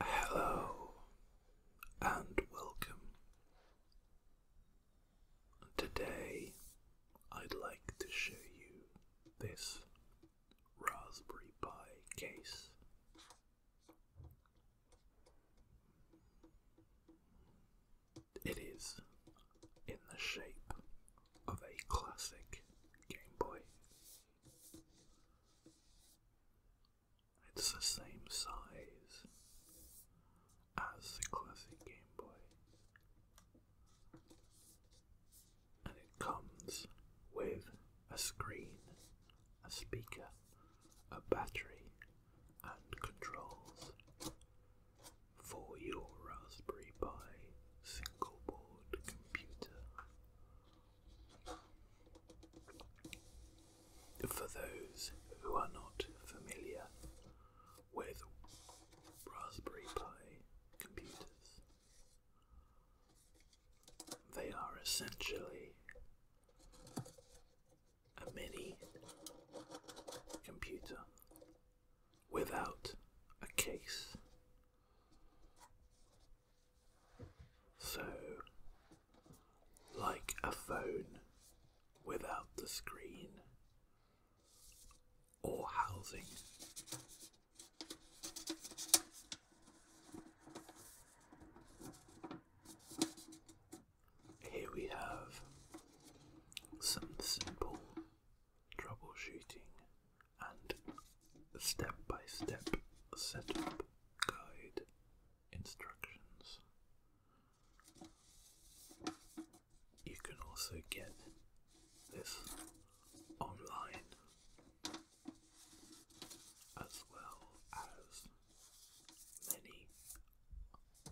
Hello and welcome. Today I'd like to show you this Raspberry Pi case. It is in the shape of a classic Game Boy. It's the same size as the classic Game Boy. And it comes with a screen, a speaker, a battery, and controls for your Raspberry Pi single board computer. For those who are not familiar with Raspberry Pi computers, they are essentially a mini computer without a case. So, like a phone without the screen or housing. Here we have some simple troubleshooting and step by step setup guide instructions. You can also get this online as well as many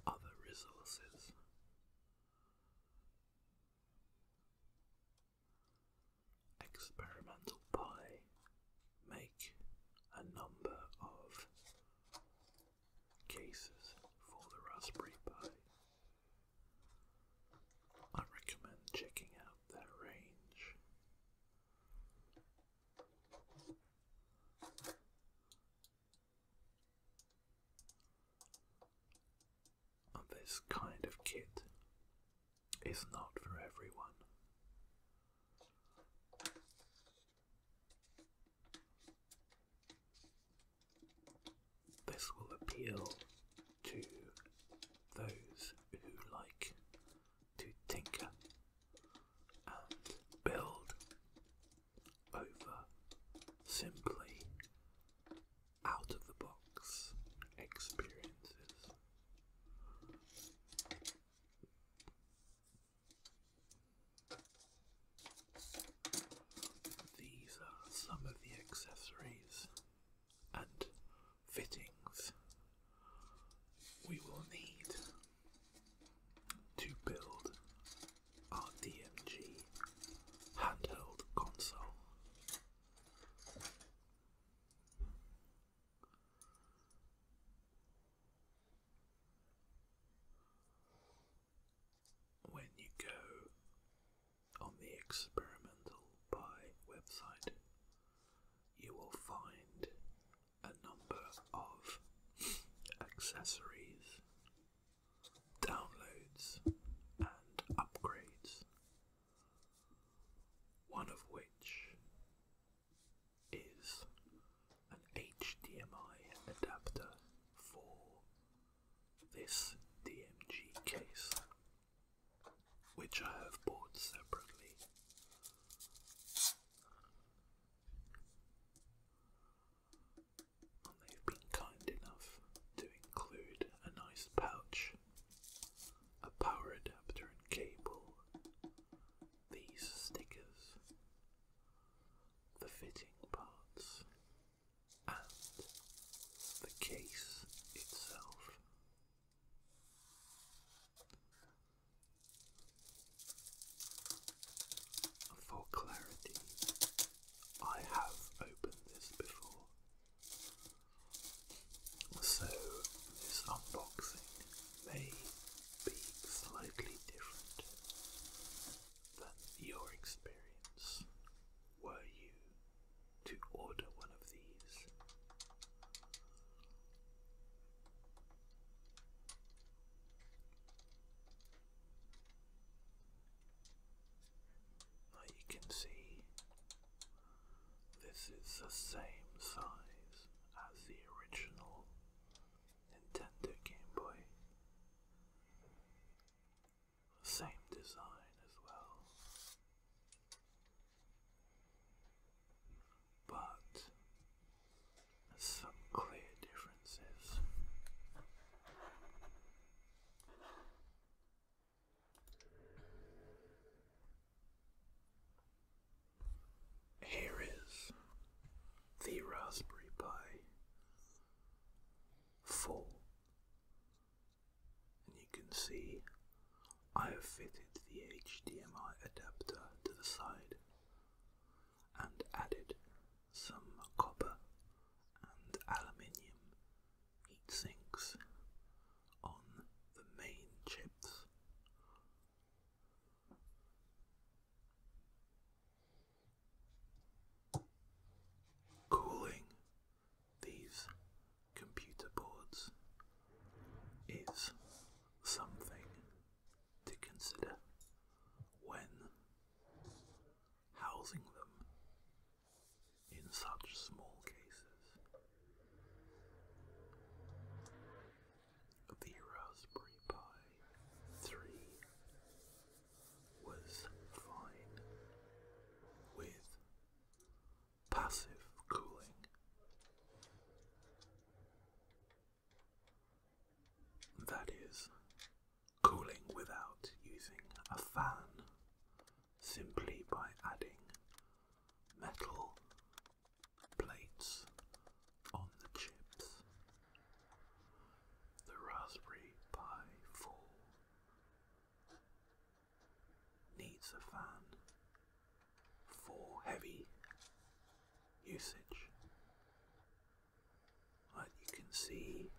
other resources. Experimental Pi make a number of cases for the Raspberry Pi. I recommend checking out their range this kind of kit is not for everyone. This will appeal to those who like to tinker and build over simply out of the box experiences. These are some of the accessories and fittings we will need to build RDMG handheld console. When you go on the experimental buy website, you will find a number of accessories downloads, and upgrades, one of which is an HDMI adapter for this DMG case, which I have bought separately they've been kind enough to include a nice pouch, a power adapter and cable, these stickers, the fitting parts, and the case itself. For clarity, I have opened this before. So this unboxing may be slightly different than your experience were you to order one of these you can see this is the same size as the original Nintendo Game Boy. Same design as well. But some clear differences. Here is the Raspberry Pi full, and you can see I have fitted the HDMI adapter to the side and added some copper and aluminium heat sinks on the main chips. Cooling these computer boards is something to consider when housing them in such small cases. The Raspberry Pi 3 was fine with passive cooling. That is, cooling without using a fan simply by adding metal plates on the chips. The Raspberry Pi 4 needs a fan for heavy usage but you can see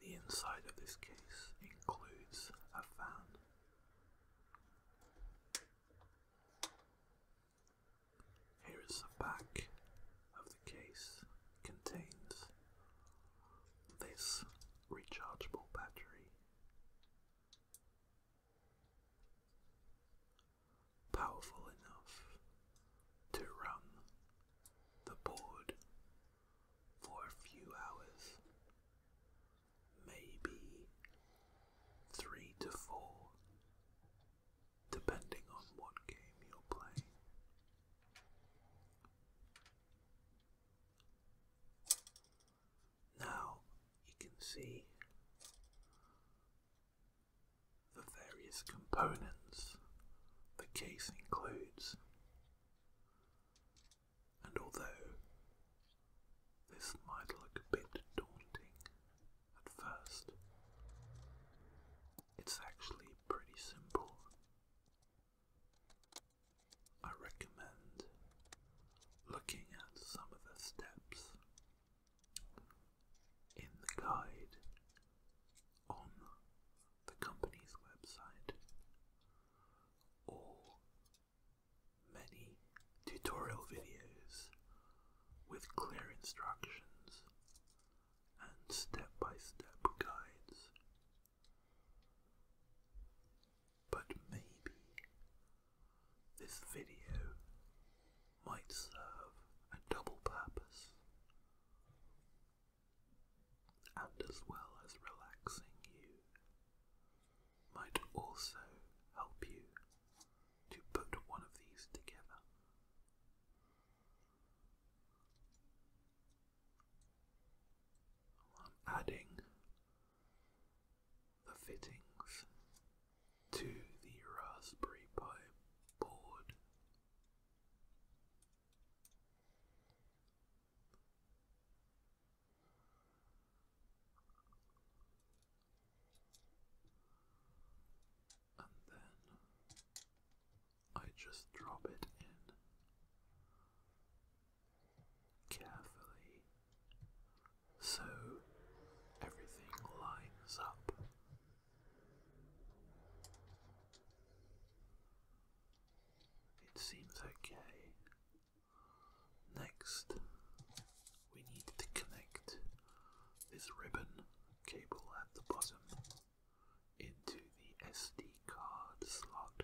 the inside of this case includes a fan. Here is the back of the case, contains this rechargeable battery, powerful enough to run the board for a few hours, maybe three to four, depending on what game you're playing. Now you can see the various components the case includes and although this might look a bit daunting at first, it's actually pretty simple. I recommend looking at some of the steps in the guide on the company's website or many tutorial videos with clear instructions and step by step guides. But maybe this video might serve a double purpose and as well as relaxing you, might also help you to put one of these together. I'm adding the fittings to the Raspberry Pi board. And then I just drop it in carefully so everything lines up. It seems okay. Next, we need to connect this ribbon cable at the bottom into the SD card slot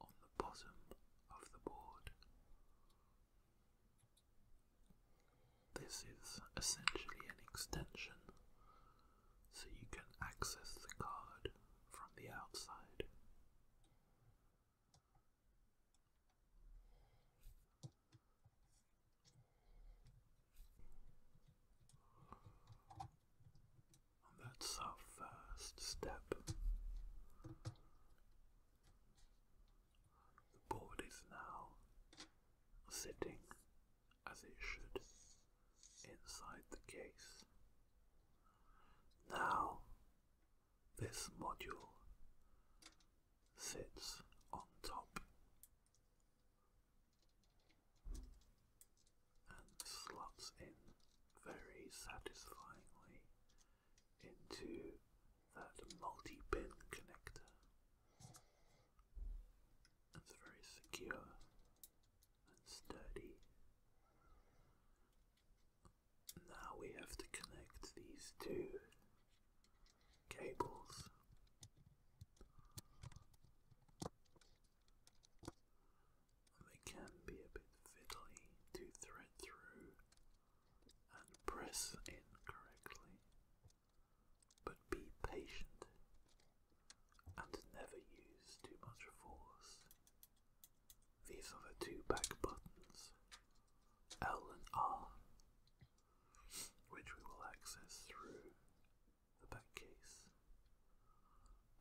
on the bottom of the board. This is essentially an extension so you can access the card from the outside. that's our first step. The board is now sitting as it should inside the case. Now, this module sits on top and slots in very satisfyingly into that multi pin connector. It's very secure sturdy. Now we have to connect these two cables. They can be a bit fiddly to thread through and press in correctly, but be patient and never use too much force. These are the two back buttons, L and R, which we will access through the back case.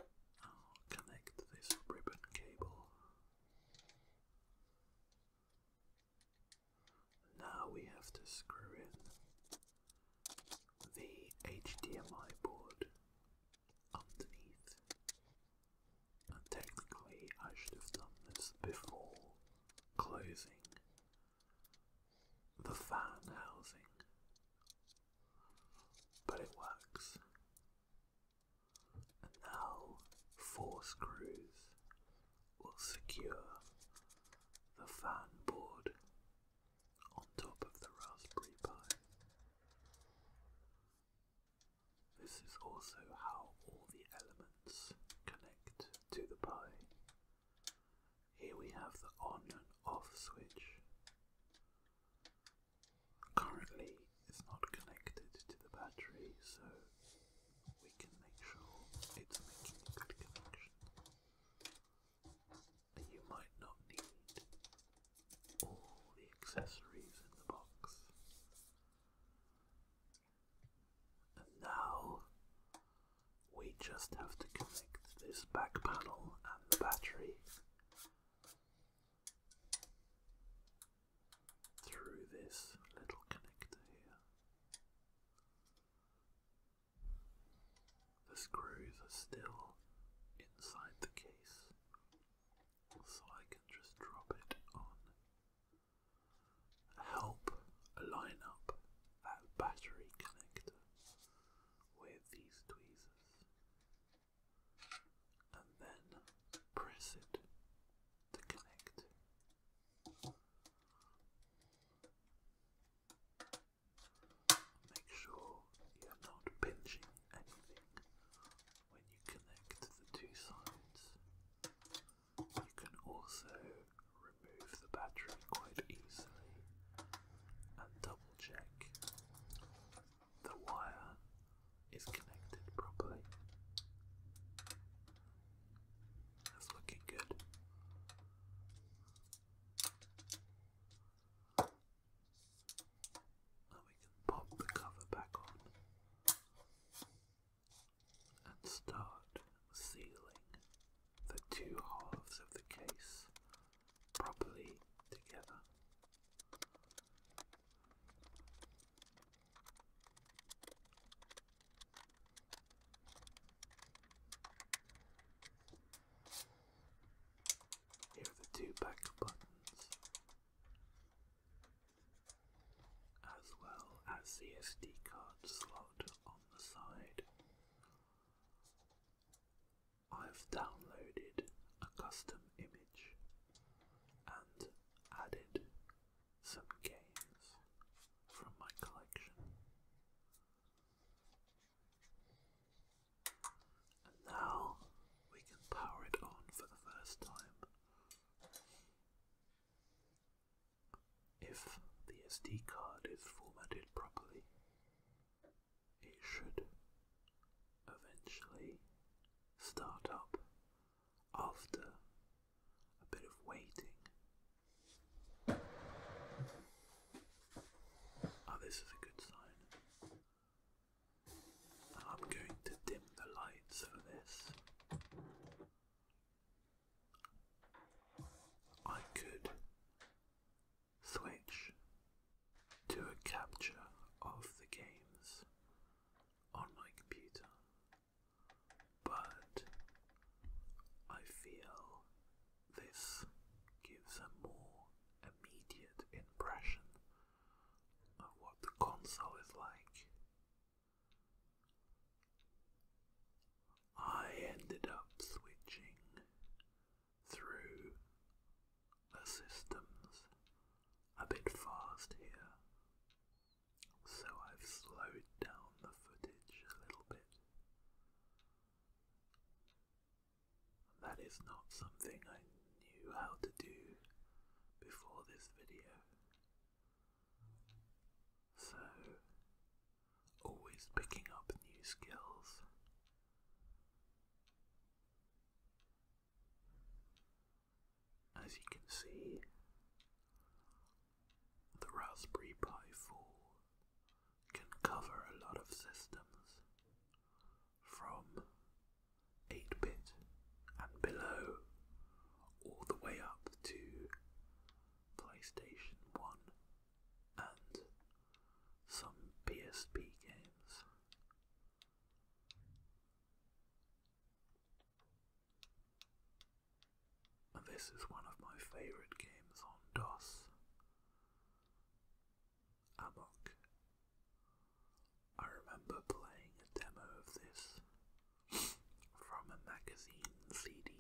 i connect this ribbon cable. Now we have to screw it the HDMI board underneath. And technically, I should have done this before closing the fan housing, but it works. And now, four screws will secure the fan board on top of the Raspberry Pi. This is also how all the elements connect to the Pi. Here we have the on and off switch. Currently it's not connected to the battery, so we can make sure it's making a good connection you might not need all the accessories in the box. And now we just have to connect this back panel and the battery through this little connector here. The screws are still inside the case, so I can just drop it on. Help line up that battery connector with these tweezers and then press it to connect. Make sure you're not pinching anything when you connect the two sides. You can also remove the battery quite easily and double check the wire is connected properly. That's looking good. Now we can pop the cover back on and start sealing the two halves of the case properly together. Here are the two back buttons, as well as the SD card slot on the side. I've downloaded a custom image and added some games from my collection. And now we can power it on for the first time. If the SD card is formatted properly, it should eventually start up after a bit of waiting. Oh, this is a good sign. I'm going to dim the lights for this. I could switch to a capture of the games on my computer, but I feel this gives a more immediate impression what the console is like. I ended up switching through the systems a bit fast here, so I've slowed down the footage a little bit. That is not something I knew how to do before this video. So, always picking up new skills. As you can see, the Raspberry Pi 4 can cover a lot of systems from 8 bit and below, all the way up to PlayStation 1 and some PSP games. this is one of my favourite games on DOS. Amok. I remember playing a demo of this from a magazine CD,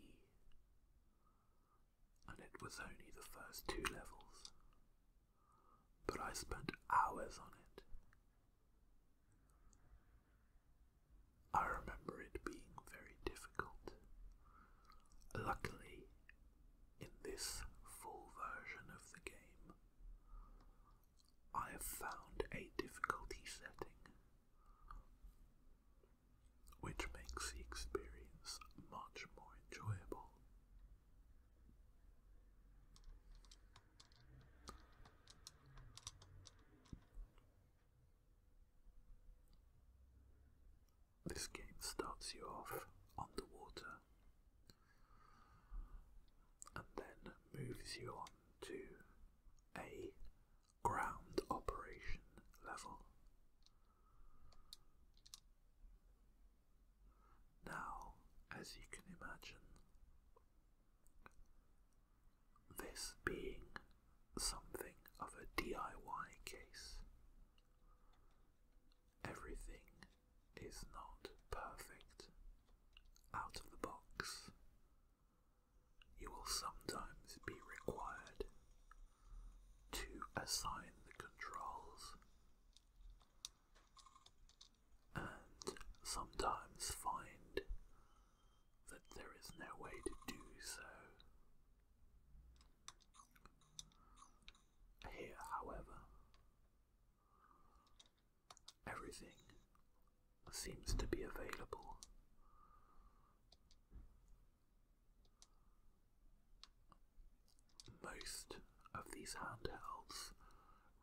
and it was only the first two levels, but I spent hours on it. I remember it being very difficult. Luckily, in this full version of the game, I have found a difficulty setting which makes the experience much more enjoyable. This game starts you off on the water and then moves you on to a ground operation level. Now, as you can imagine, this being something of a DIY case, everything is not perfect out of the box. You will sometimes be required to assign the controls and sometimes find that there is no way to do so. Here, however, Everything seems to be available. Most of these handhelds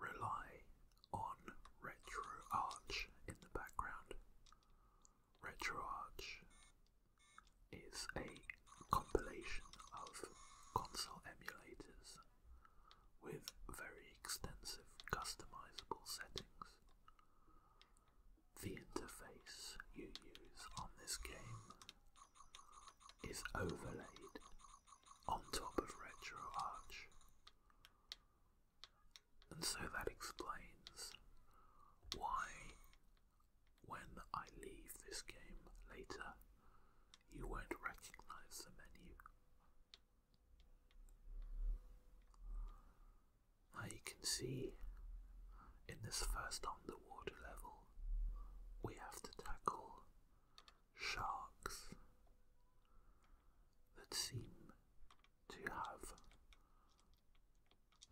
rely on RetroArch in the background. RetroArch is a compilation of console emulators with very extensive customizable settings. The interface you use on this game is overlaid on top of RetroArch. And so that explains why, when I leave this game later, you won't recognize the menu. Now you can see in this first underwater level, we have to tackle sharks that seem to have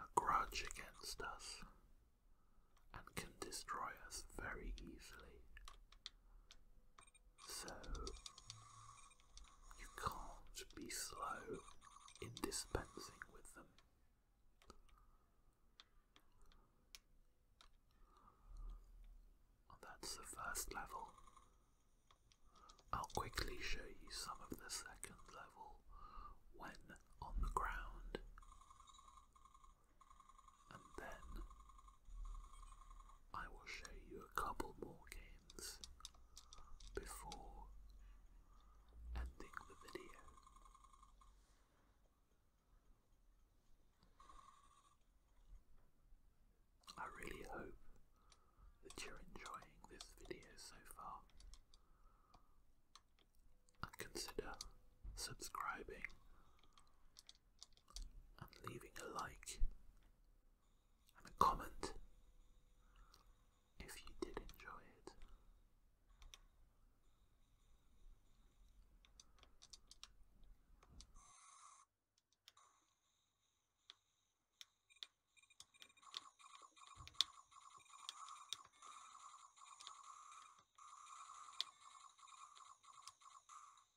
a grudge against us and can destroy us very easily. So, you can't be slow in dispensing with them. that's the first level. I'll quickly show you some of the second level when on the ground and then I will show you a couple more games before ending the video. I really hope that you're enjoying this video so far and consider subscribing and leaving a like and a comment if you did enjoy it.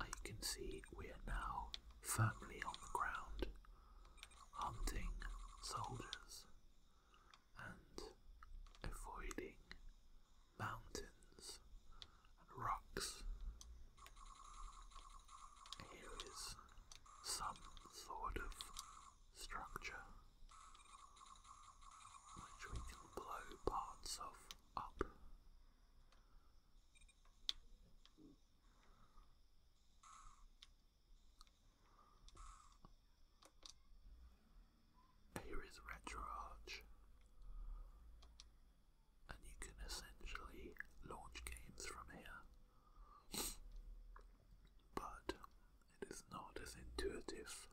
Oh, you can see we are now firmly on the ground, hunting soldiers and avoiding mountains and rocks. Here is some sort of structure which we can blow parts of up. Here is RetroArch, and you can essentially launch games from here, but it is not as intuitive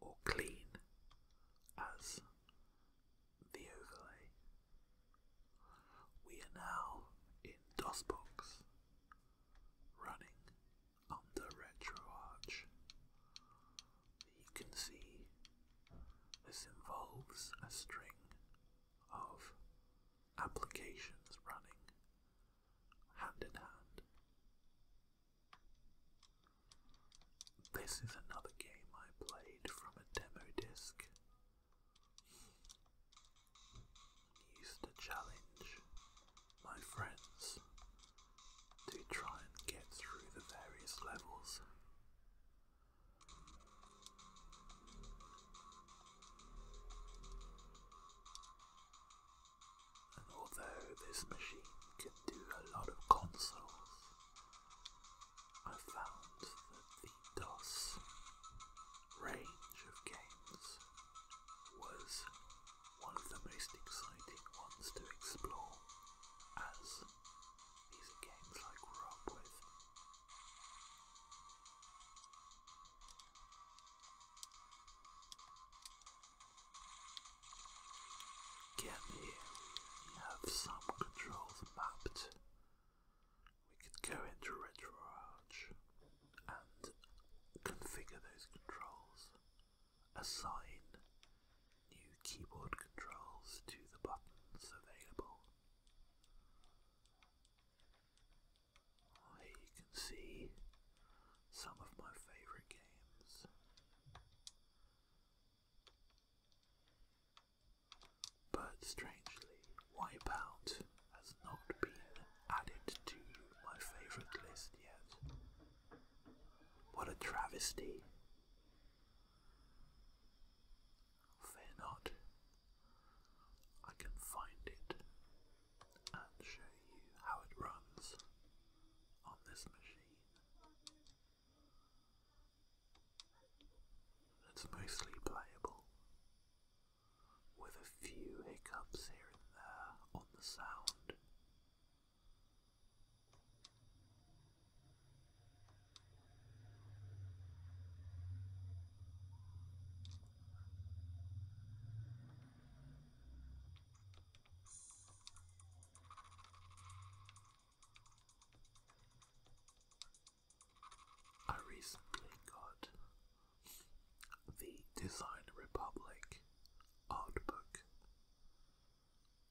or clean as the overlay. We are now in DOSBox, running under RetroArch. You can see this involves a string of applications running hand in hand. This is another game I played from a demo disc and used to challenge my friends to try and get through the various levels. And although this machine can do a lot of consoles, I found that the DOS range of games was one of the most exciting ones to explore, as these games I grew up with. here we have some controls mapped we could go into RetroArch and configure those controls, assign new keyboard controls to the buttons available. Here you can see some of my favourite games. But strangely, Wipeout has not been added to my favourite list yet. What a travesty. Fear not, I can find it and show you how it runs on this machine. It's mostly playable, with a few hiccups here and there on the sound. I recently got the Design Republic art book.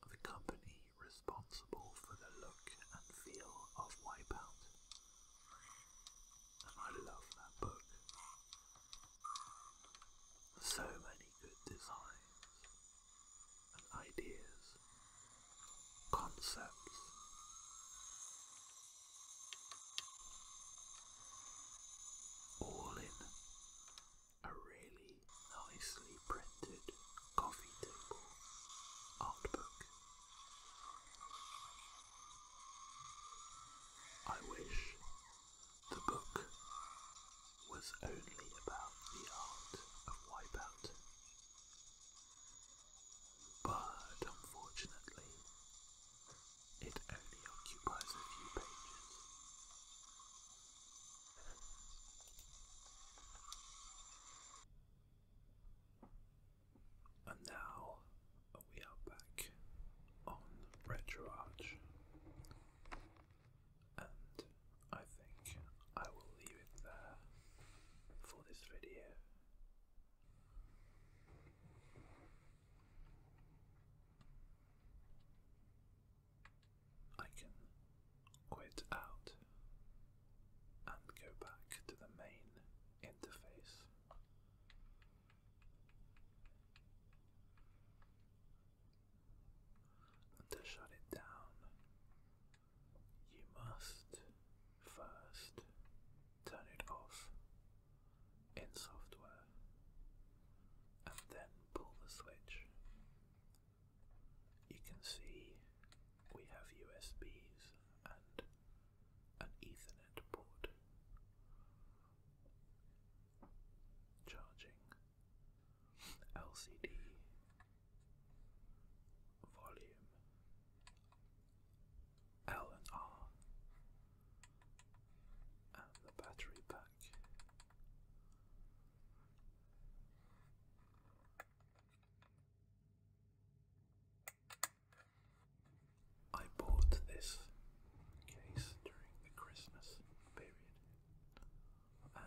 The company responsible for the look and feel of Wipeout. And I love that book. So many good designs and ideas concepts. All in a really nicely printed coffee table art book. I wish the book was only about the art of wipeout but unfortunately, it only occupies a few pages. And now we are back on RetroArch, and I think I will leave it there for this video. I can quit out and go back to the main interface. to shut it down, you must first. Turn it off in software and then pull the switch. You can see we have USBs and an Ethernet port charging LCD volume L and R, and the battery pack. I bought this case during the Christmas period,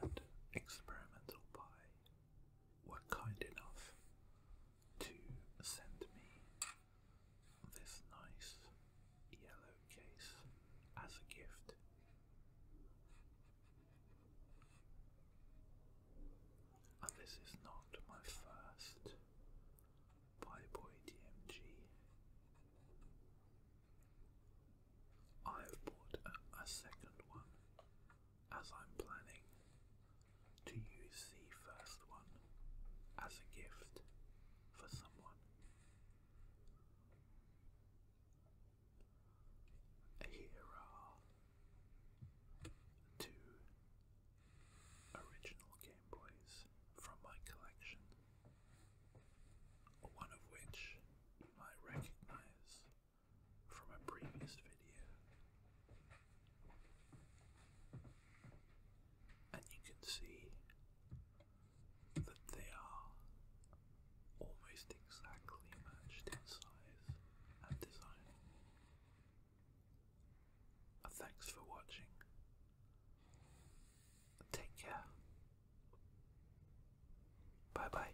and Experimental Pie were kind enough to send me this nice yellow case as a gift. And this is not my first Boy DMG. I have bought a second one as I'm planning to use the first one as a gift for someone. Here are two original Game Boys from my collection, one of which you recognize from a previous video and you can see that they are almost exactly matched in size and design. Thanks for watching. Take care. Bye bye.